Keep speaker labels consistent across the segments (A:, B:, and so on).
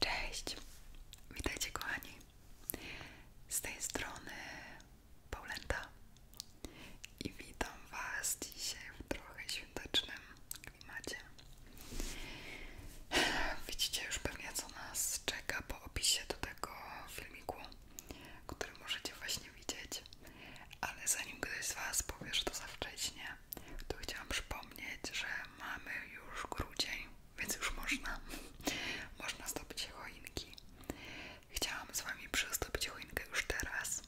A: Cześć, witajcie kochani. Z tej strony Paulenta i witam Was dzisiaj w trochę świątecznym klimacie. Widzicie już pewnie co nas czeka po opisie do tego filmiku, który możecie właśnie widzieć, ale zanim ktoś z Was powie, że to za wcześnie, to chciałam przypomnieć, że mamy już grudzień, więc już można, można zdobyć choinki. Chciałam z Wami przystąpić choinkę już teraz.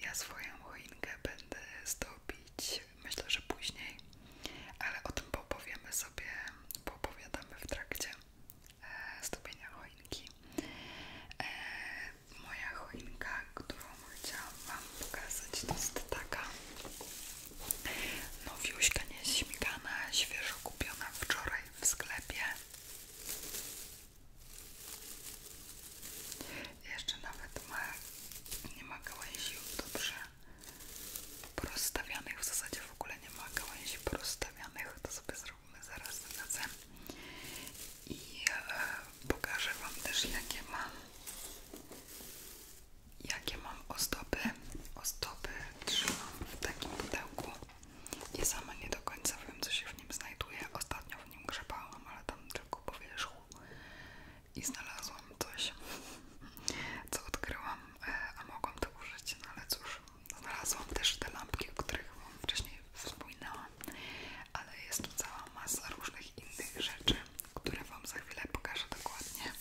A: Ja swoją choinkę będę zdobić, myślę, że później, ale o tym poopowiemy sobie, poopowiadamy w trakcie e, zdobienia choinki. E, moja choinka, którą chciałam Wam pokazać, to jest taka nowiuśka, nieśmigana, świeżo kupiona wczoraj w sklepie. Jeszcze nawet ma, nie ma gałęzi dobrze porozstawianych, w zasadzie w ogóle nie ma gałęzi porozstawianych, to sobie zrobimy zaraz na cenę i e, pokażę Wam też jakie mam jakie mam ozdoby ozdoby trzymam w takim pudełku i sama nie do końca wiem co się w nim znajduje ostatnio w nim grzebałam, ale tam tylko po wierzchu i znalazłam coś co odkryłam, e, a mogłam to użyć, no ale cóż znalazłam też te lampki, o których Wam wcześniej wspominałam ale jest tu cała masa różnych innych rzeczy, które Wam za chwilę pokażę dokładnie.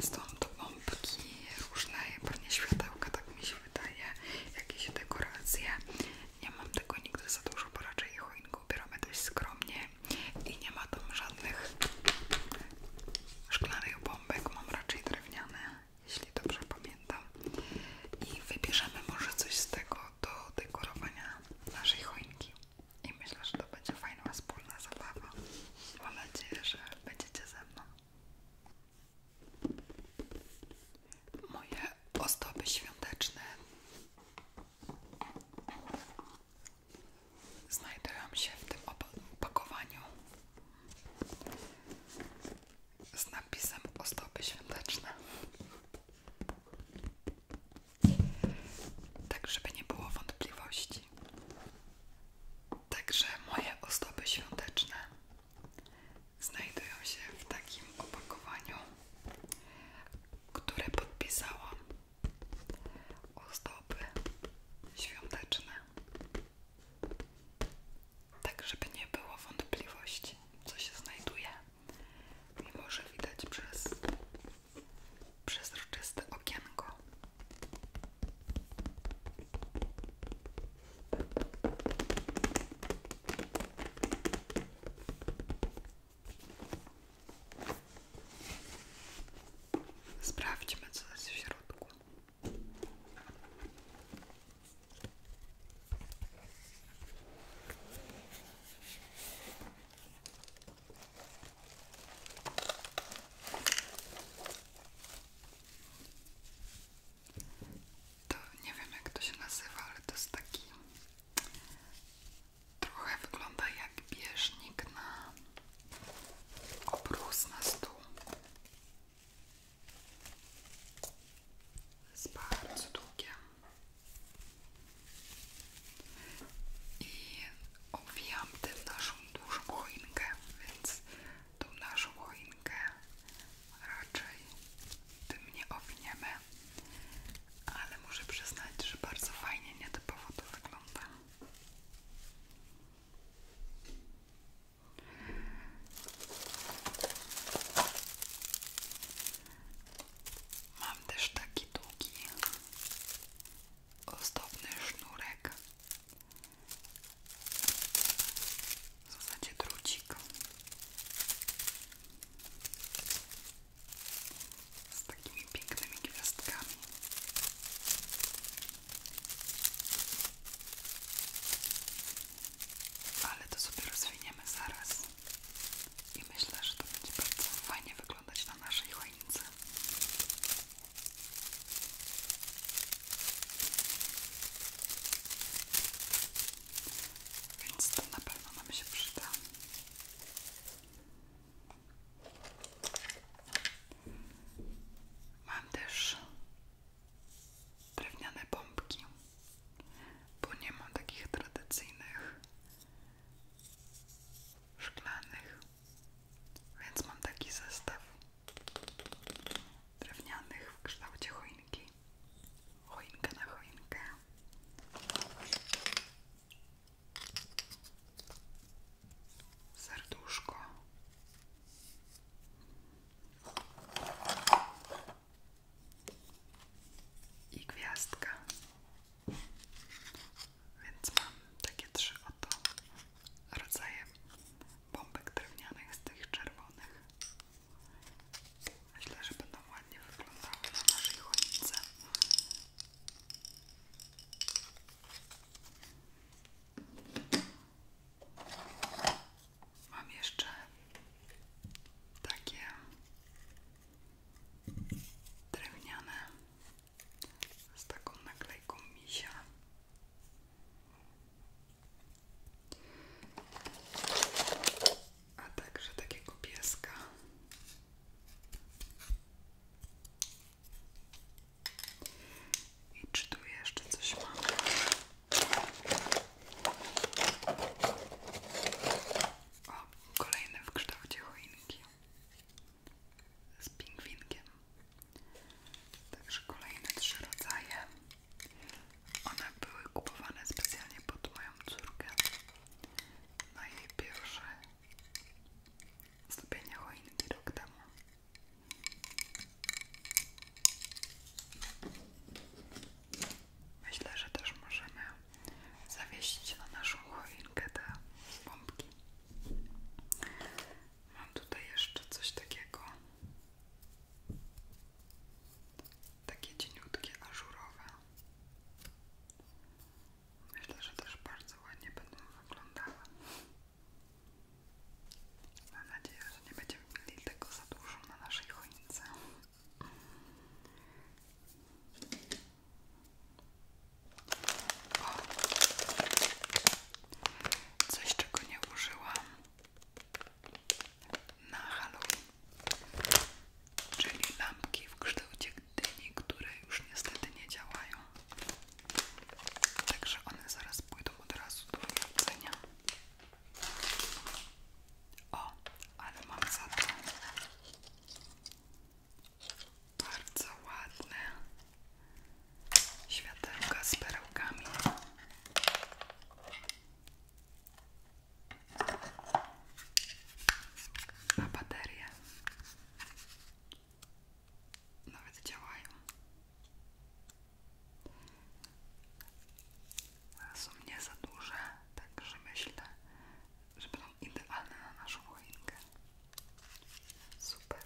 A: Stąd bombki różne, pewnie światełka, tak mi się wydaje, jakieś dekoracje. Nie mam tego nigdy za dużo, bo raczej ich choinkę ubieramy dość skromnie i nie ma tam żadnych szklanych bombek, mam raczej drewniane, jeśli dobrze pamiętam. I wybierzemy może coś z tego, do dekorowania naszej choinki i myślę, że to będzie fajna wspólna zabawa. Mam nadzieję, że będziecie ze mną. Moje ozdoby świąteczne znajdują się w tym opakowaniu z napisem ozdoby świąteczne. Tak, żeby nie było wątpliwości. Także moje ozdoby świąteczne znajdują się w takim opakowaniu, które podpisałam. Ozdoby świąteczne. Tak, żeby nie było wątpliwości, co się znajduje mimo że widać przez przezroczyste okienko. Sprawdźmy, co jest w środku. To nie wiem jak to się nazywa, ale to jest taki trochę wygląda jak bieżnik na obrus na stół. Jest bardzo długie. I owijam tę naszą dużą choinkę, więc tą naszą choinkę raczej tym nie owiniemy, ale muszę przyznać, że bardzo fajnie nietypowo to wygląda. Mam też taki długi, ozdobny sznurek. W zasadzie drucik. Z takimi pięknymi gwiazdkami. Ale to sobie rozwiniemy zaraz i myślę, że to będzie bardzo fajnie wyglądać na naszej choince. Więc to na pewno nam się przyda. Mam też drewniane bombki bo nie mam takich tradycyjnych szklanych, więc mam taki zestaw drewnianych w kształcie choinki, choinka na choinkę. Serduszko i gwiazdka. Więc mam takie trzy oto rodzaje bombek drewnianych z tych czerwonych. Myślę, że będą ładnie wyglądały na naszej choince. Mam jeszcze takie drewniane z taką naklejką misia. A także takiego pieska. I czy tu jeszcze coś mamy? O, kolejne w kształcie choinki z pingwinkiem. Także kolejne trzy rodzaje. One były kupowane specjalnie pod moją córkę na jej pierwsze stopienie choinki rok temu. Myślę, że też możemy zawiesić na naszą choinkę te bombki. Mam tutaj jeszcze coś takiego. Takie cieniutkie, ażurowe. Myślę, że też bardzo ładnie będą wyglądały. Mam nadzieję, że nie będziemy mieli tego za dużo na naszej choince. O. Coś, czego nie użyłam na Halloween, czyli lampki w kształcie dyni, które już niestety nie działają. Także one zaraz pójdą od razu do jedzenia. O, ale mam za to bardzo ładne światełka z perełkami. Na baterię. Nawet działają. Są nie za duże, także myślę, że będą idealne na naszą choinkę. Super.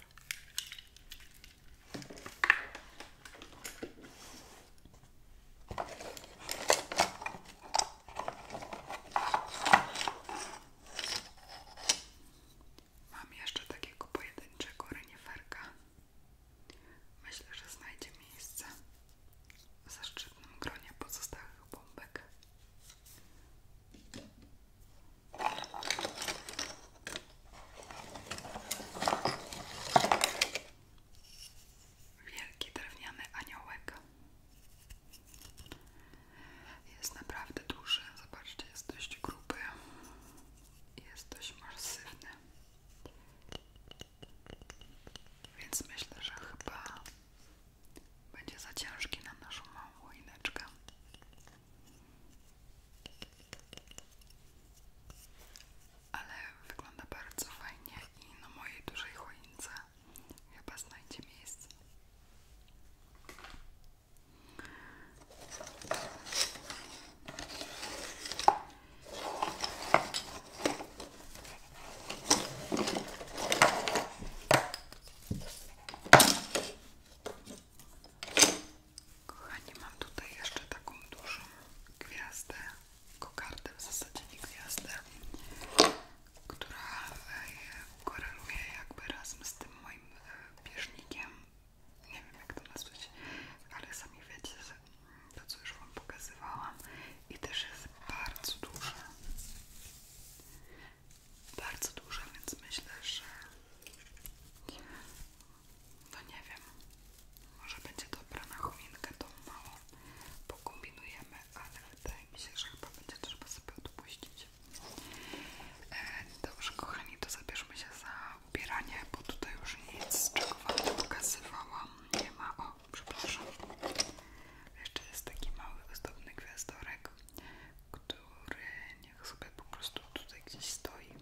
A: Mam jeszcze takiego pojedynczego reniferka. Myślę, że znajdzie miejsce w zaszczytnym gronie pozostałych bombek. Wielki drewniany aniołek. Jest naprawdę duży. Zobaczcie, jest dość gruby. Jest dość masywny. Więc myślę, że chyba będzie za ciężki na naszą małą łójneczkę. Ale wygląda bardzo fajnie i na mojej dużej choince chyba znajdzie miejsce. Kochani, mam tutaj jeszcze taką dużą gwiazdę, kokardę w zasadzie nie gwiazdę, która e, koreluje jakby razem z tym moim e, bieżnikiem. Nie wiem jak to nazwać, ale sami wiecie, to co już Wam pokazywałam i też jest bardzo duże. Bardzo duże, więc myślę, że no nie wiem, może będzie dobra na choinkę tą małą, pokombinujemy, ale wydaje mi się, że chyba będzie trzeba sobie odpuścić. E, dobrze kochani, to zabierzmy się za ubieranie, bo tutaj już nic z czego wam nie pokazywałam nie ma. O, przepraszam. Jeszcze jest taki mały, ozdobny gwiazdorek, który niech sobie po prostu tutaj gdzieś stoi.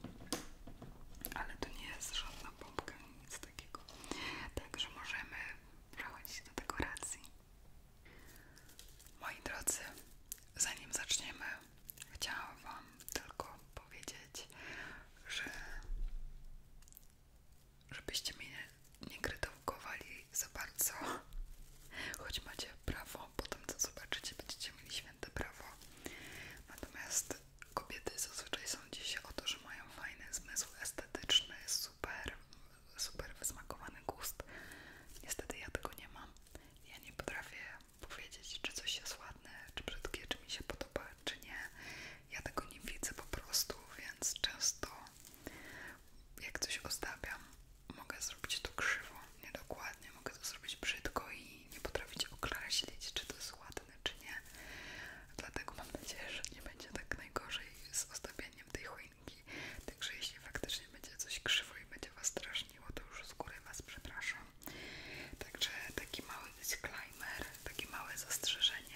A: Ale to nie jest żadna pompka, nic takiego. Także możemy przechodzić do dekoracji. Moi drodzy, zanim zaczniemy, chciałam Wam tylko powiedzieć, że żebyście mnie nie, nie krytykowali za bardzo, choć macie prawo, po tym co zobaczycie będziecie mieli święte prawo. Natomiast kobiety zazwyczaj są się o to, że mają fajny zmysł estetyczny, super, super wysmakowany gust. Niestety ja tego nie mam. Ja nie potrafię powiedzieć, czy coś jest ładne, czy brzydkie, czy mi się podoba, czy nie. Ja tego nie widzę po prostu, więc często jak coś ostawiam, mogę zrobić to krzywo, niedokładnie, mogę to zrobić brzydko i nie potrafić określić, czy to jest ładne, czy nie. Dlatego mam nadzieję, że nie będzie tak najgorzej z ostawianiem tej choinki. Także jeśli faktycznie będzie coś krzywo i będzie Was straszniło, to już z góry Was przepraszam. Także taki mały disclaimer, takie małe zastrzeżenie.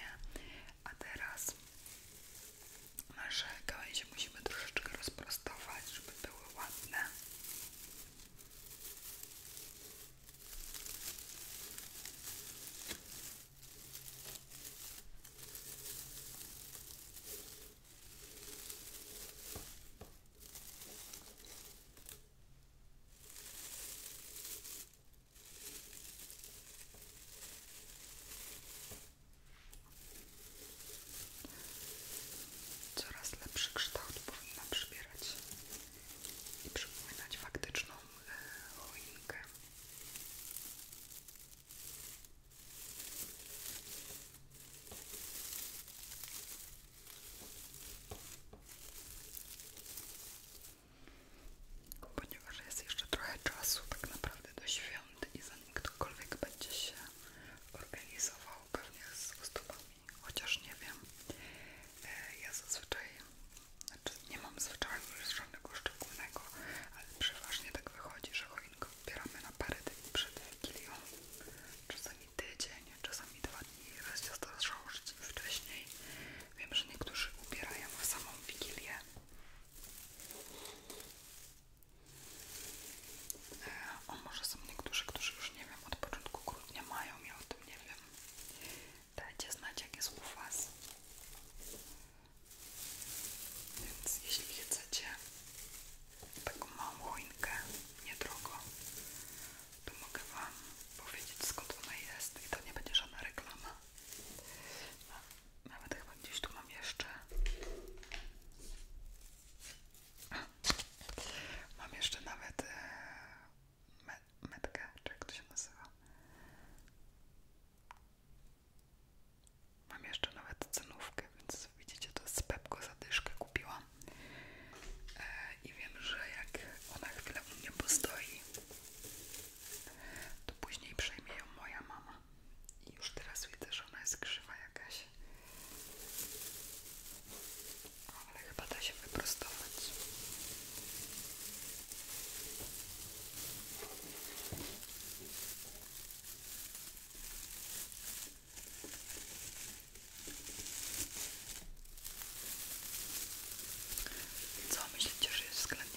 A: A teraz nasze gałęzie musimy troszeczkę rozprostować, żeby były ładne. Coraz lepszy kształt powinna przybierać i przypominać faktyczną e, choinkę ponieważ jest jeszcze trochę czasu tak naprawdę do świąt i zanim ktokolwiek będzie się organizował pewnie z osobami, chociaż nie wiem. E, ja zazwyczaj, znaczy nie mam zwyczaju już żadnego szczególnego, ale przeważnie tak wychodzi, że choinkę ubieramy na parę dni przed Wigilią. Czasami tydzień, czasami dwa dni, raz się zdarzało, że wcześniej. Wiem, że niektórzy ubierają w samą wigilję. E, o może są niektórzy, którzy już nie wiem, od początku grudnia mają, ja o tym nie wiem. Dajcie znać jak jest u was. Więc jeśli chcecie taką małą choinkę, niedrogo, to mogę wam powiedzieć skąd ona jest i to nie będzie żadna reklama. Nawet chyba gdzieś tu mam jeszcze. Mam jeszcze nawet e, me metkę, jak to się nazywa. Mam jeszcze nawet cenówkę, więc widzicie, to z Pepko zadyszkę kupiłam. E, I wiem, że jak ona chwilę u mnie postoi, to później przejmie ją moja mama. I już teraz widzę, że ona jest krzywa jakaś. Ale chyba da się wyprostować. Co myślicie, że jest względnie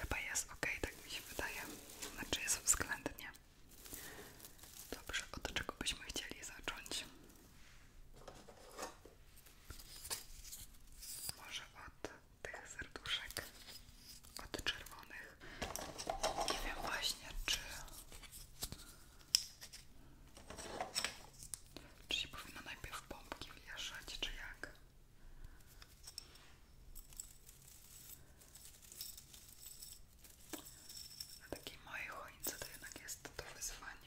A: Chyba jest ok, tak mi się wydaje. Znaczy jest względnie. Dobrze, od czego byśmy chcieli zacząć? Może od tych serduszek, od czerwonych. Nie wiem właśnie, czy, czy się powinno najpierw pompki wieszać, czy jak. Na takiej mojej choince to jednak jest to wyzwanie.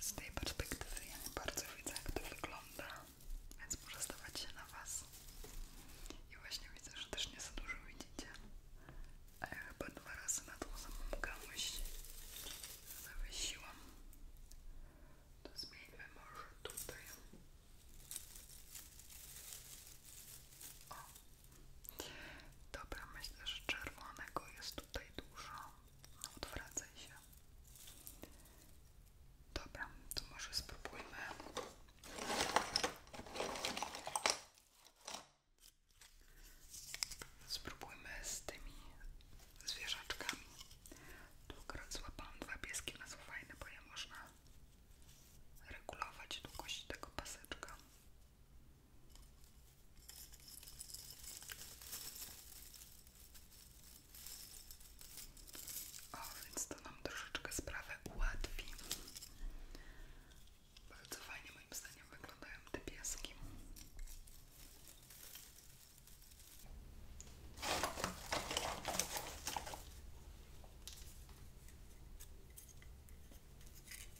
A: Z tej perspektywy ja nie bardzo widzę, jak to wygląda, więc może stawać się na Was. I właśnie widzę, że też nie za dużo widzicie. A chyba dwa razy na tą samą gałąź zawiesiłam. To zmieńmy może tutaj. O, Dobra, myślę, że czerwonego jest tutaj dużo. No, odwracaj się. Dobra, to może spróbujmy. Spróbujmy z tymi zwierzaczkami. Tu akurat złapałam dwa pieski, one są bo je można regulować długość tego paseczka więc to nam troszeczkę sprawę ułatwi. Bardzo fajnie moim zdaniem wyglądają te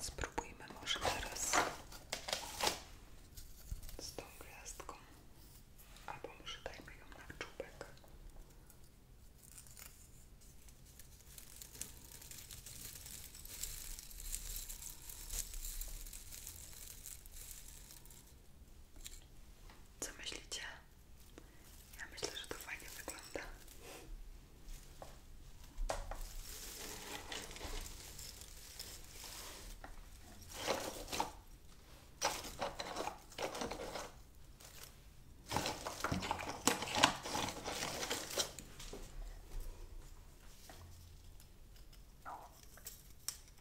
A: Spróbujmy może teraz z tą gwiazdką, albo może dajmy ją na czubek. Co myślicie? Ja myślę, że to fajnie wygląda.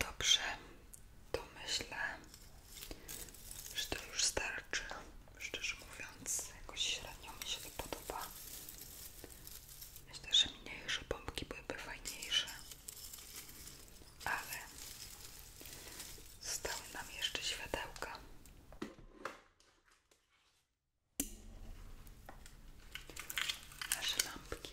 A: Dobrze, to myślę, że to już starczy szczerze mówiąc, jakoś średnio mi się to podoba. Myślę, że mniejsze bombki byłyby fajniejsze, ale zostały nam jeszcze światełka. Nasze lampki.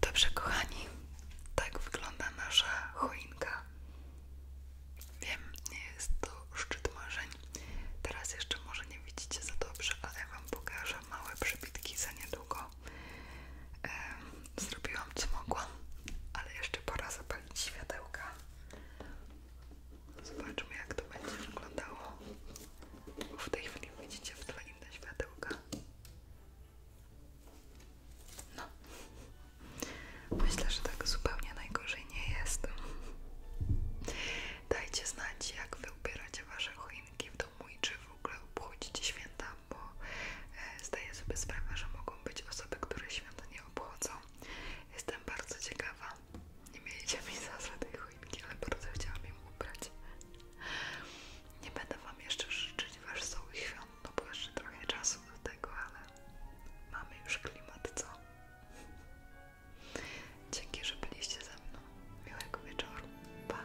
A: Dobrze, kochani, tak wygląda nasza choinka. Wiem, nie jest to szczyt marzeń. Teraz jeszcze może nie widzicie za dobrze, ale Wam pokażę małe przebitki za niedługo zrobiłam co mogłam, ale jeszcze pora zapalić światełka. Zobaczmy jak to będzie wyglądało. Bo w tej chwili widzicie w tle inne światełka. No. Myślę, że tak zupełnie najgorzej nie jest. Dajcie znać, jak wy ubieracie wasze choinki choinki w domu i czy w ogóle obchodzić święta, bo e, zdaję sobie sprawę, że mogą być osoby, które święta nie obchodzą. Jestem bardzo ciekawa. Nie mieliście mi za tej choinki, ale bardzo chciałam ją ubrać. Nie będę Wam jeszcze życzyć wesołych świąt, no bo jeszcze trochę czasu do tego, ale mamy już klimat, co? Dzięki, że byliście ze mną. Miłego wieczoru. Pa.